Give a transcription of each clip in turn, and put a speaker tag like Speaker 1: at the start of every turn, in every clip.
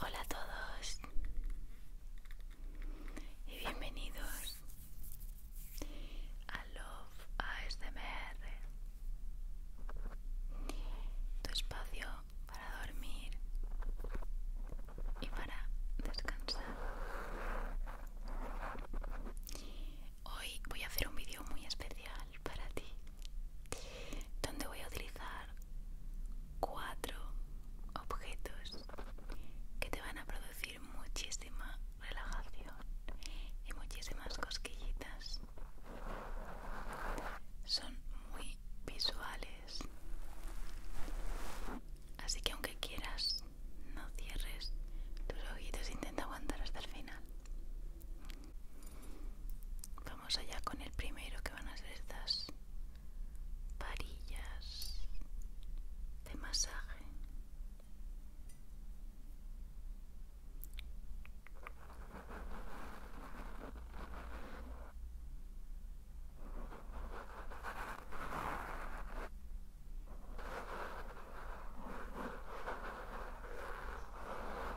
Speaker 1: Hola a todos y bienvenidos a Love ASMR, tu espacio para dormir y para descansar. Hoy voy a hacer un vídeo muy especial para ti donde voy a utilizar cuatro objetos que te van a producir muchísima relajación y muchísimas cosquillitas son muy visuales así que aunque quieras no cierres tus ojitos intenta aguantar hasta el final Vamos allá con el primero que van a ser estas varillas de masaje.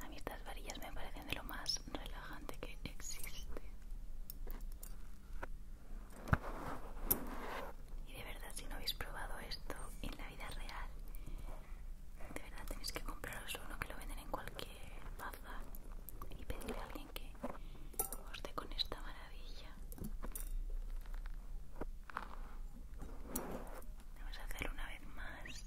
Speaker 1: A mí estas varillas me parecen de lo más relajante que existe. Y de verdad, si no habéis probado esto en la vida real, de verdad tenéis que compraros uno que lo venden en cualquier bazar y pedirle a alguien que os dé con esta maravilla. Vamos a hacer una vez más.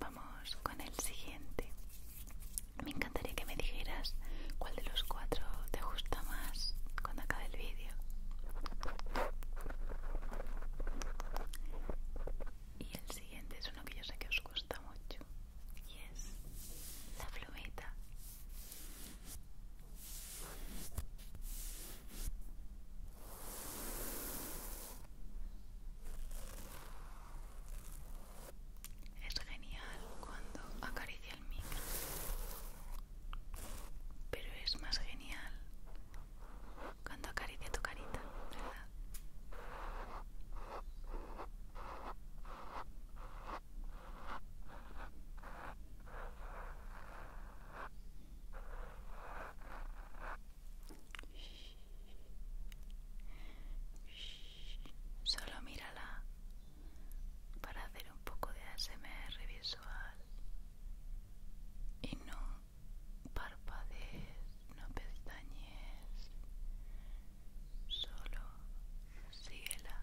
Speaker 1: Vamos con el siguiente. Me encantaría que me dijeras cuál de los cuatro te gusta más cuando acabe el vídeo. Y el siguiente es uno que yo sé que os gusta mucho. Y es la plumita. Es genial cuando acaricia el micro, pero es más genial cuando acaricia tu carita, ¿verdad? Solo mírala para hacer un poco de ASMR visual y no parpadees, no pestañes, solo síguela.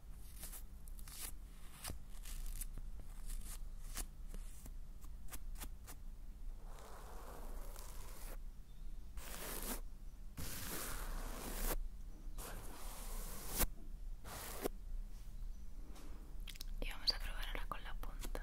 Speaker 1: Y vamos a probar ahora con la punta.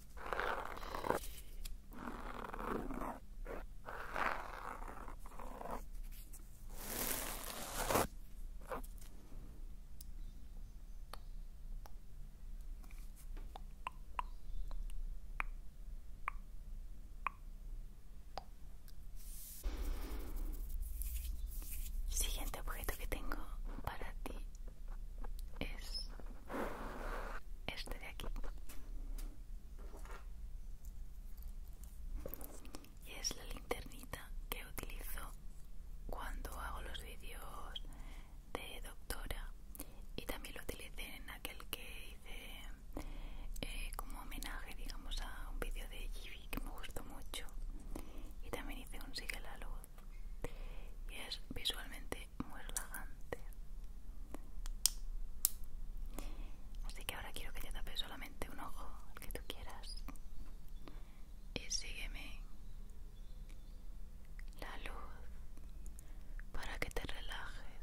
Speaker 1: Siguiente objeto que tengo para ti es este de aquí y es la linternita que utilizo cuando hago los vídeos de doctora y también lo utilicé en aquel que hice eh, como homenaje digamos a un vídeo de Givi que me gustó mucho y también hice un sigue la luz y es visualmente muy relajante así que ahora quiero que te tapes solamente un ojo el que tú quieras y sígueme la luz para que te relajes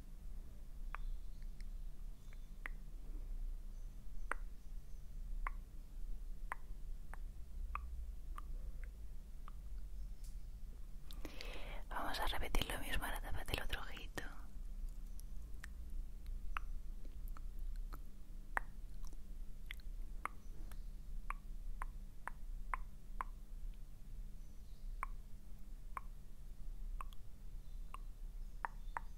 Speaker 1: Vamos a repetir lo mismo, para tapar el otro ojito.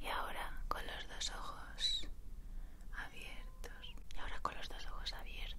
Speaker 1: Y ahora con los dos ojos abiertos. Y ahora con los dos ojos abiertos.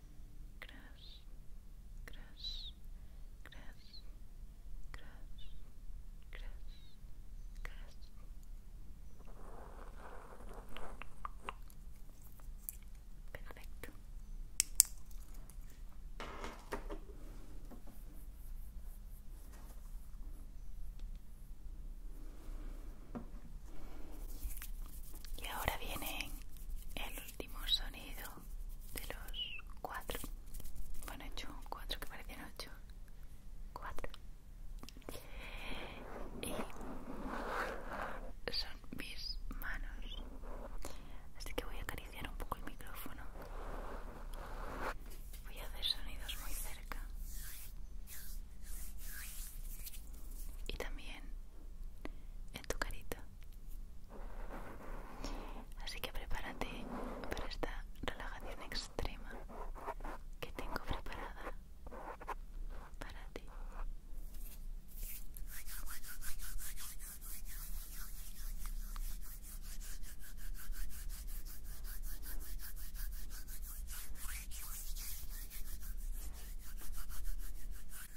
Speaker 1: crash, Perfecto. Y ahora viene el último sonido de los cuatro. Bueno, he hecho cuatro que parecían ocho. Cuatro. Y son mis manos. Así que voy a acariciar un poco el micrófono. Voy a hacer sonidos muy cerca. Y también tu carita. Así que prepárate para esta relajación extrema que tengo preparada para ti.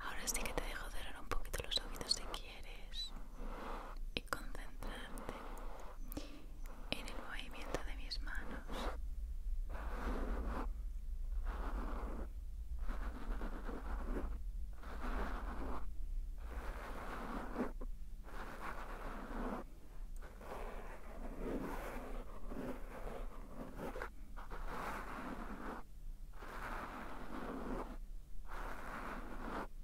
Speaker 1: Ahora sí que te dejo cerrar un poquito los oídos si quieres y concentrarte en el movimiento de mis manos.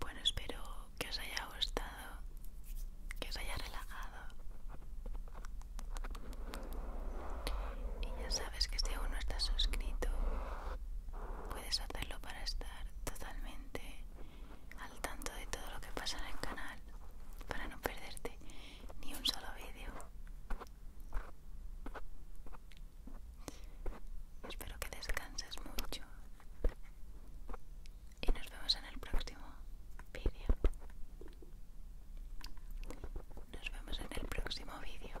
Speaker 1: Bueno, espero que os haya gustado, que os haya relajado. Y ya sabes que si aún no estás suscrito, puedes hacerlo para estar totalmente al tanto de todo lo que pasa en el canal para no perderte ni un solo vídeo. Espero que descanses mucho y nos vemos en el próximo vídeo. Nos vemos en el próximo vídeo.